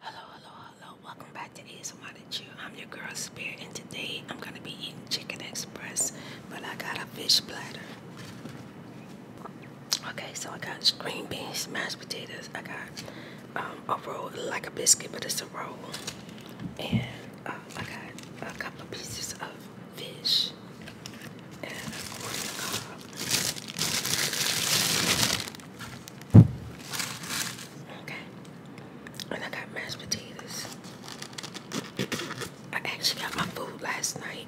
Hello, hello, hello. Welcome back to ASMR to I'm your girl Spirit and today I'm gonna be eating Chicken Express, but I got a fish bladder. Okay, so I got green beans, mashed potatoes. I got um, a roll like a biscuit, but it's a roll. And um, I got a couple pieces of fish and of corn cob. Okay. And I got mashed potatoes. I actually got my food last night.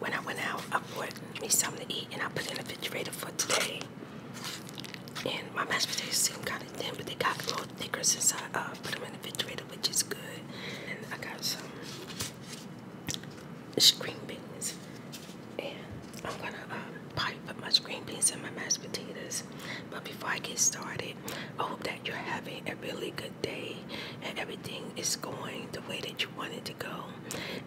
When I went out, I bought me something to eat and I put it in the refrigerator for today. And my mashed potatoes seem kind of thin, but they got a little thicker since I uh, put them in the refrigerator, which is good. And I got some green beans. And I'm gonna um, probably put my green beans and my mashed potatoes. But before I get started, I hope that you're having a really good day and everything is going the way that you want it to go.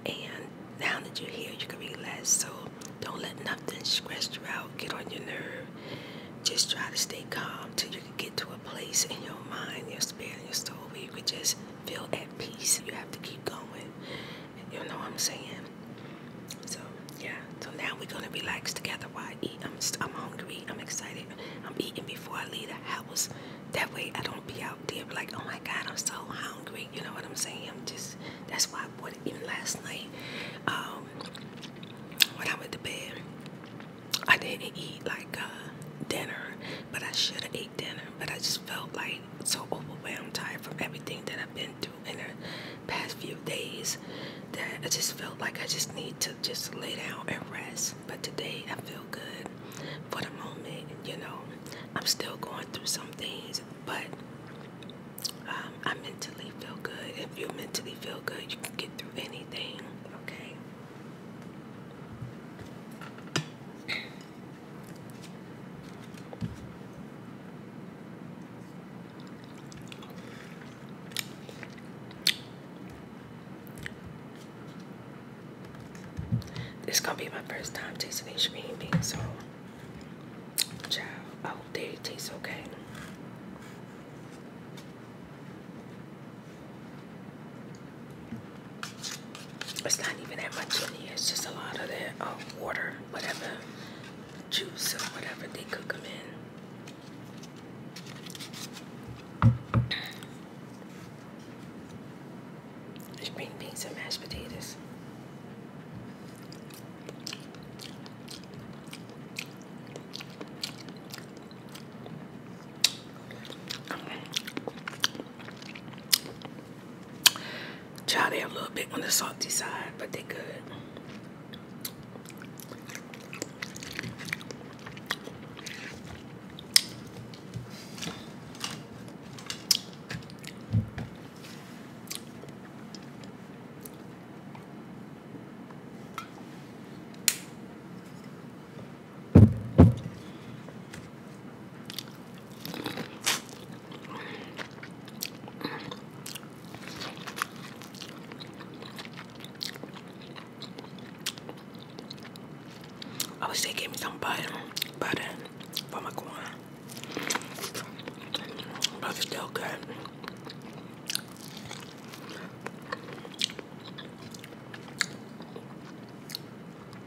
And now that you're here, you can relax. So don't let nothing stress you out, get on your nerve. Just try to stay calm till you can get to a place in your mind, your spirit, your soul where you can just feel at peace. You have to keep going. You know what I'm saying? So yeah. So now we're gonna relax together while I eat. I'm I'm hungry. I'm excited. I'm eating before I leave the house. That way I don't be out there like, oh my God, I'm so hungry. You know what I'm saying? I'm just that's why I bought it in last night. Um, when I went to bed, I didn't eat like uh, dinner, but I should have eaten dinner, but I just felt like so overwhelmed, tired from everything that I've been through in the past few days that I just felt like I just need to just lay down and rest. But today I feel good for the moment, you know. I'm still going through some things, but um, I mentally feel good. If you mentally feel good, you can get through anything, okay? This is gonna be my first time tasting these green beans, so child, I oh, hope they taste okay. It's not even that much in here. It's just a lot of that um, water, whatever juice or whatever they cook them in. Spring beans and mashed potatoes. Try they a little bit on the salty side, but they are good. I wish they gave me some butter, butter for my corn. But it's still good.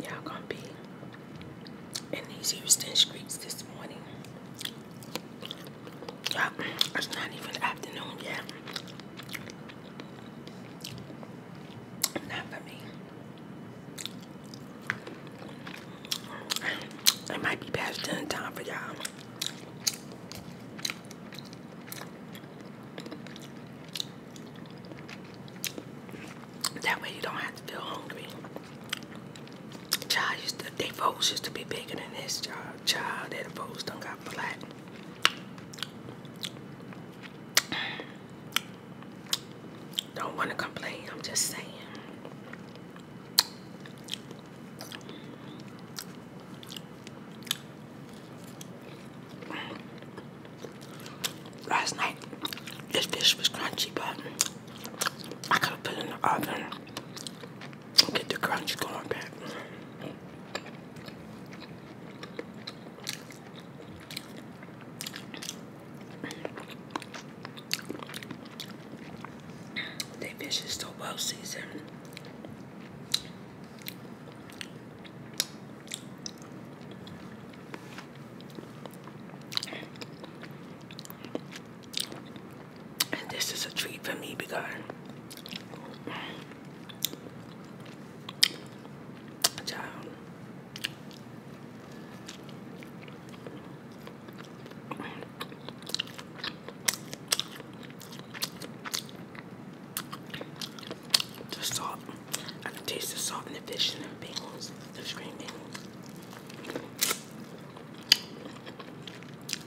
Y'all gonna be in these Houston streets this morning. you it's not even afternoon yet. Not for me. It might be past dinner time for y'all. That way you don't have to feel hungry. Child used to, they folks used to be bigger than this, child. Child, that folks done got flat. Don't want to complain, I'm just saying. Last night, this fish was crunchy, but I could have put in the oven Get the crunch going back. They fish is so well seasoned. And this is a treat for me big guy. Child. The salt. I can taste the salt in the fish and the bagels, the green bagels.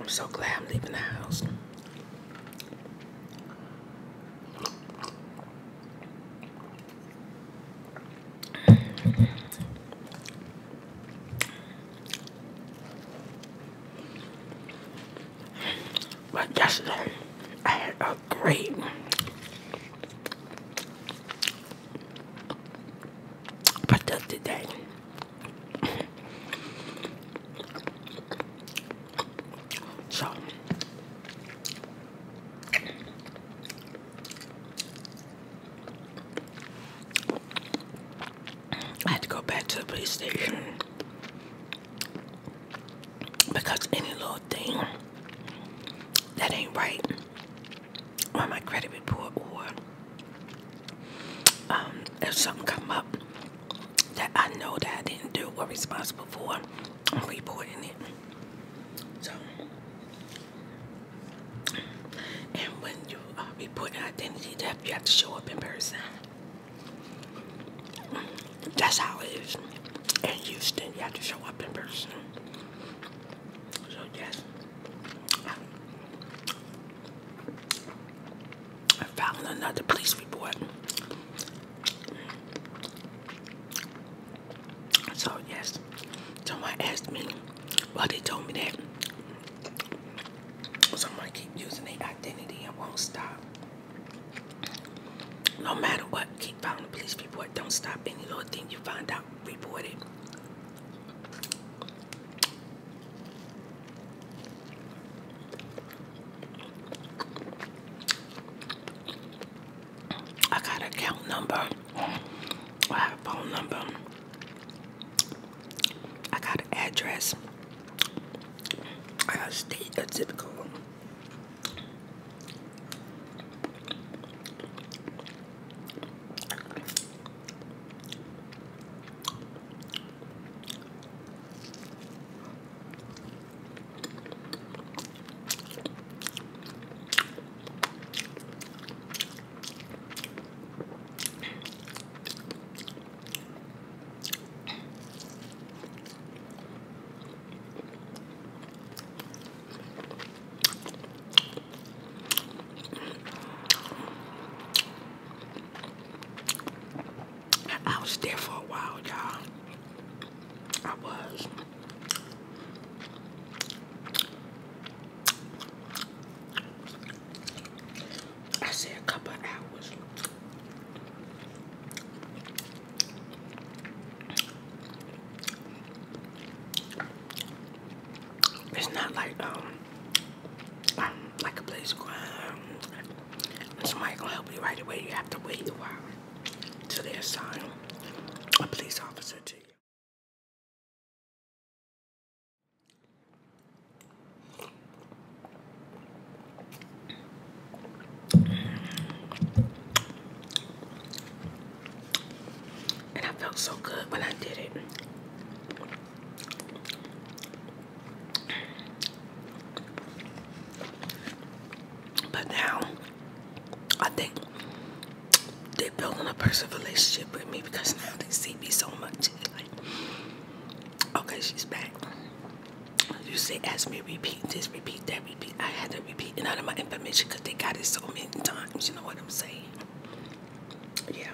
I'm so glad I'm leaving the house. But yesterday, I had a great productive day. so, I had to go back to the police station because any little thing that ain't right on my credit report or um, if something come up that I know that I didn't do or responsible for, I'm reporting it. So, and when you uh, report an identity theft, you have to show up in person. That's how it is in Houston. You have to show up in person. So yes, I found another police report. So yes, someone asked me. Well, they told me that Someone keep using their identity and won't stop. No matter what, keep following the police report. Don't stop any little thing you find out. Report it. I got an account number. I have a phone number. I got an address. I got a state, a zip code. I was there for a while, y'all. I was. I said a couple hours. It's not like um, um like a place going um, somebody gonna help you right away. You have to wait a while till they assign a police officer to you. And I felt so good when I did it. But now, I think they're building a personal relationship with me because now they see me so much. Okay, she's back. You say, ask me repeat this, repeat that, repeat. I had to repeat out of my information because they got it so many times. You know what I'm saying? Yeah.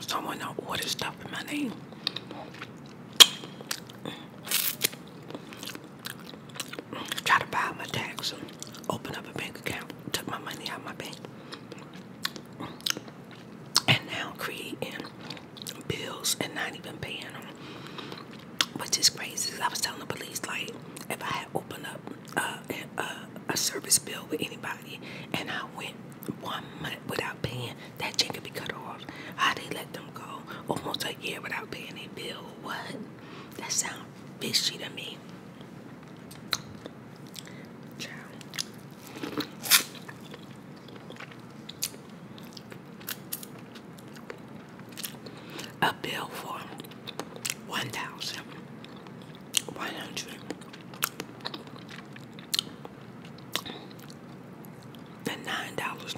Someone don't stuff in my name. Try to buy my tax open up a bank account. Took my money out my bank. And now creating bills and not even paying them. Which is crazy. I was telling the police, like, if I had opened up a, service bill with anybody, and I went one month without paying, that check could be cut off. How they let them go almost a year without paying a bill? What? That sounds fishy to me. A bill for one thousand why dollars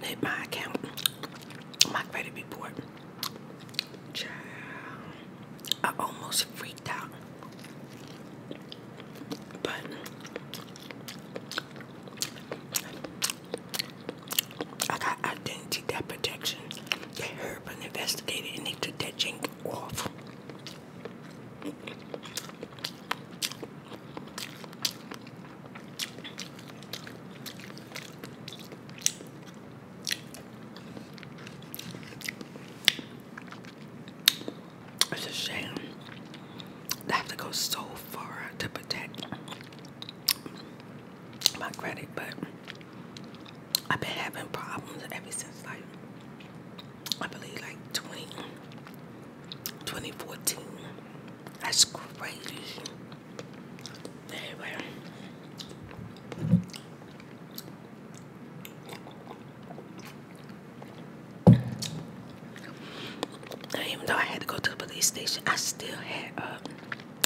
hit my account, my credit report. I almost freaked out, but I got identity protection. They heard and investigated, and they took that jink off. It's a shame. I have to go so far to protect my credit, but I've been having problems ever since like I believe like 20 2014. That's crazy. Anyway. even though I had to go to the police station, I still had a, um,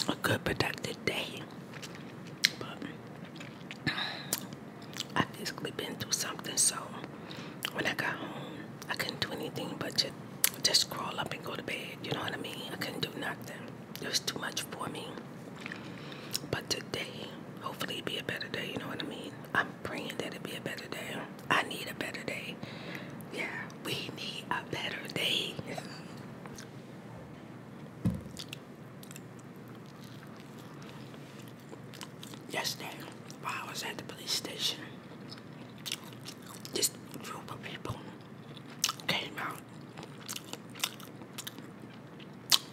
a good productive day. I physically been through something, so when I got home, I couldn't do anything but just just crawl up and go to bed. You know what I mean? I couldn't do nothing. It was too much for me. But today, hopefully, be a better day. You know what I mean? I'm praying that it be a better day. I need a better day. Yeah, we need a better day. Yesterday, I was at the police station, this group of people came out.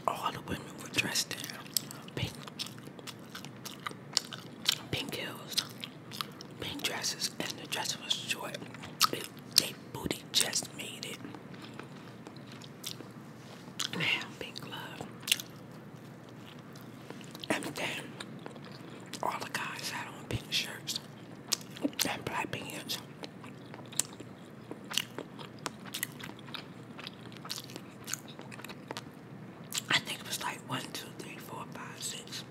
All the women were dressed in pink, pink heels, pink dresses, and the dress was short. It, they booty just made it. Man, big love. And then all the guys had on pink shirts and black pants. I think it was like one, two, three, four, five, six,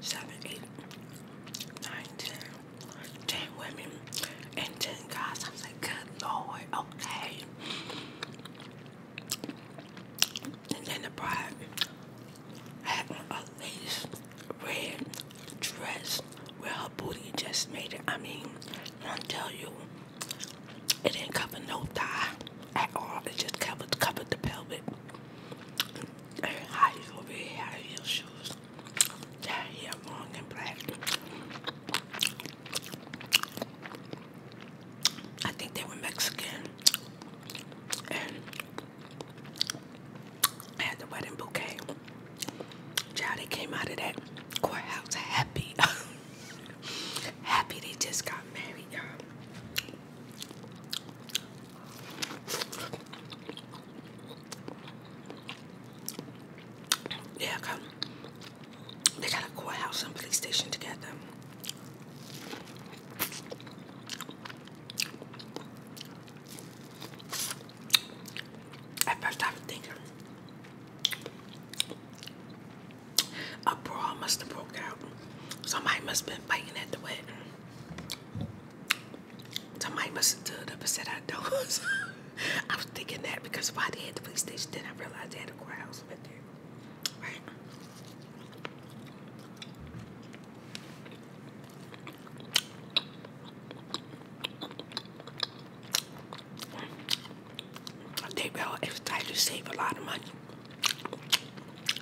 seven, eight, nine, ten. 10 women and 10 guys. I was like, good lord, okay. And then the bride had on a lace red dress where her booty just made it. I mean, i am tell you, it didn't cover no thigh at all. It just covered covered the pelvic. And high heel, very high heel shoes. That hair long and black. I think they were Mexican. And had the wedding bouquet. Child, they came out of that courthouse happy. happy they just got married, y'all. Yeah, come. They got a courthouse and police station together. At first, I was a brawl must have broke out. Somebody must have been fighting at the wedding. Somebody must have stood up and said I don't. I was thinking that because why they had the police station, then I realized they had a courthouse right there. Right? They will if try to save a lot of money.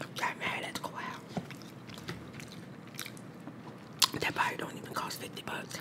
I'm trying mad at the courthouse. That probably don't even cost 50 bucks.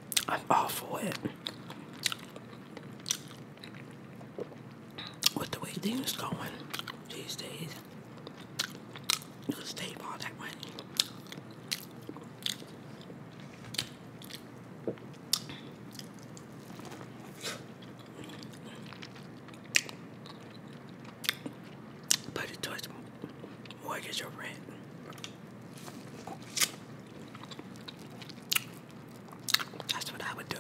I'm awful for it. With the way things going these days, you can save all that money. But it was what is your rent? That's what I would do.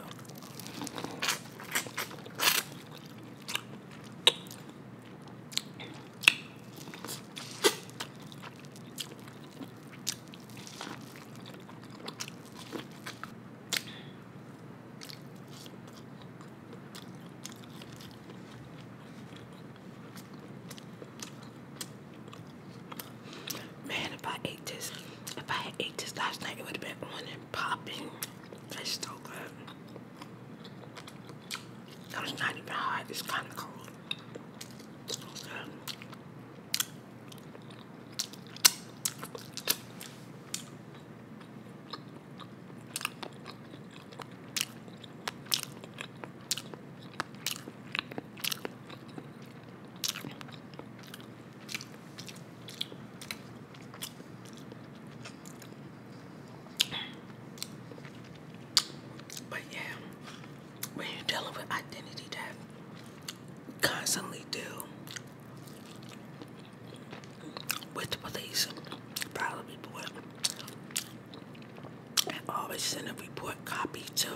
Man, if I ate this, if I ate this last night, it would have been on popping. That's so good. That was not even hot. It's kind of cold. So good. But yeah, when you're dealing with identity that constantly deal with the police, probably people and always send a report copy to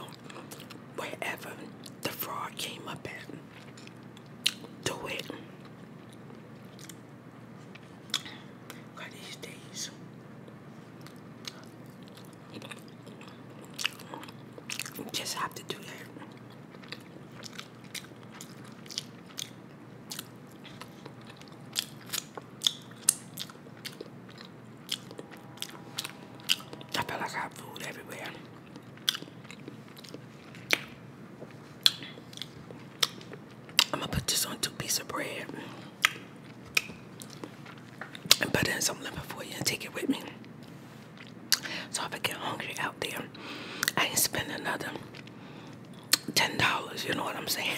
wherever the fraud came up at. Do it. Got these days. You just have to do that. I feel like I have food everywhere. I'm gonna put this on two pieces of bread and put in some lemon you and take it with me. So if I get hungry out there, I ain't spend another ten dollars. You know what I'm saying?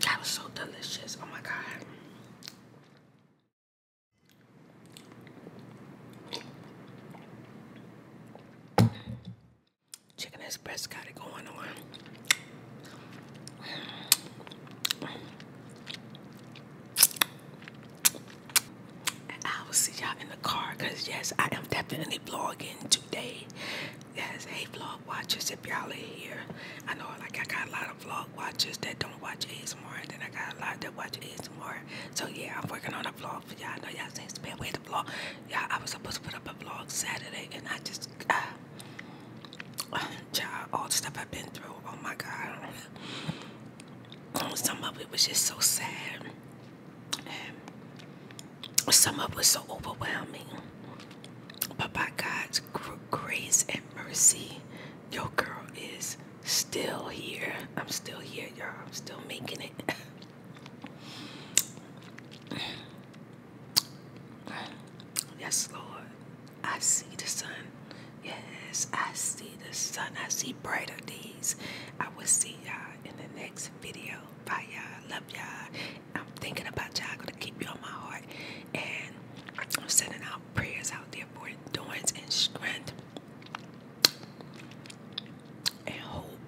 That was so delicious. Oh my God. Chicken Express got it going on. I will see y'all in the car because, yes, I am definitely vlogging today. Yes, a vlog watchers, if y'all are here. I know, like, I got a lot of vlog watchers that don't watch ASMR, and then I got a lot that watch ASMR. So, yeah, I'm working on a vlog for y'all. I know y'all saying, spend way to vlog. Yeah, I was supposed to put up a vlog Saturday, and I just, uh, ah. Child, all the stuff I've been through, oh my God. Some of it was just so sad some of it was so overwhelming. But by God's grace and mercy, your girl is still here. I'm still here, y'all. I'm still making it. yes, Lord. I see the sun. Yes, I see the sun. I see keep of these. I will see y'all in the next video. Bye y'all. Love y'all. I'm thinking about y'all. I'm Gonna keep you on my heart. And I'm sending out prayers out there for endurance and strength and hope.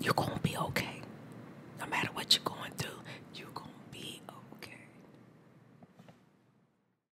You're gonna be okay. No matter what you're going through, you're gonna be okay.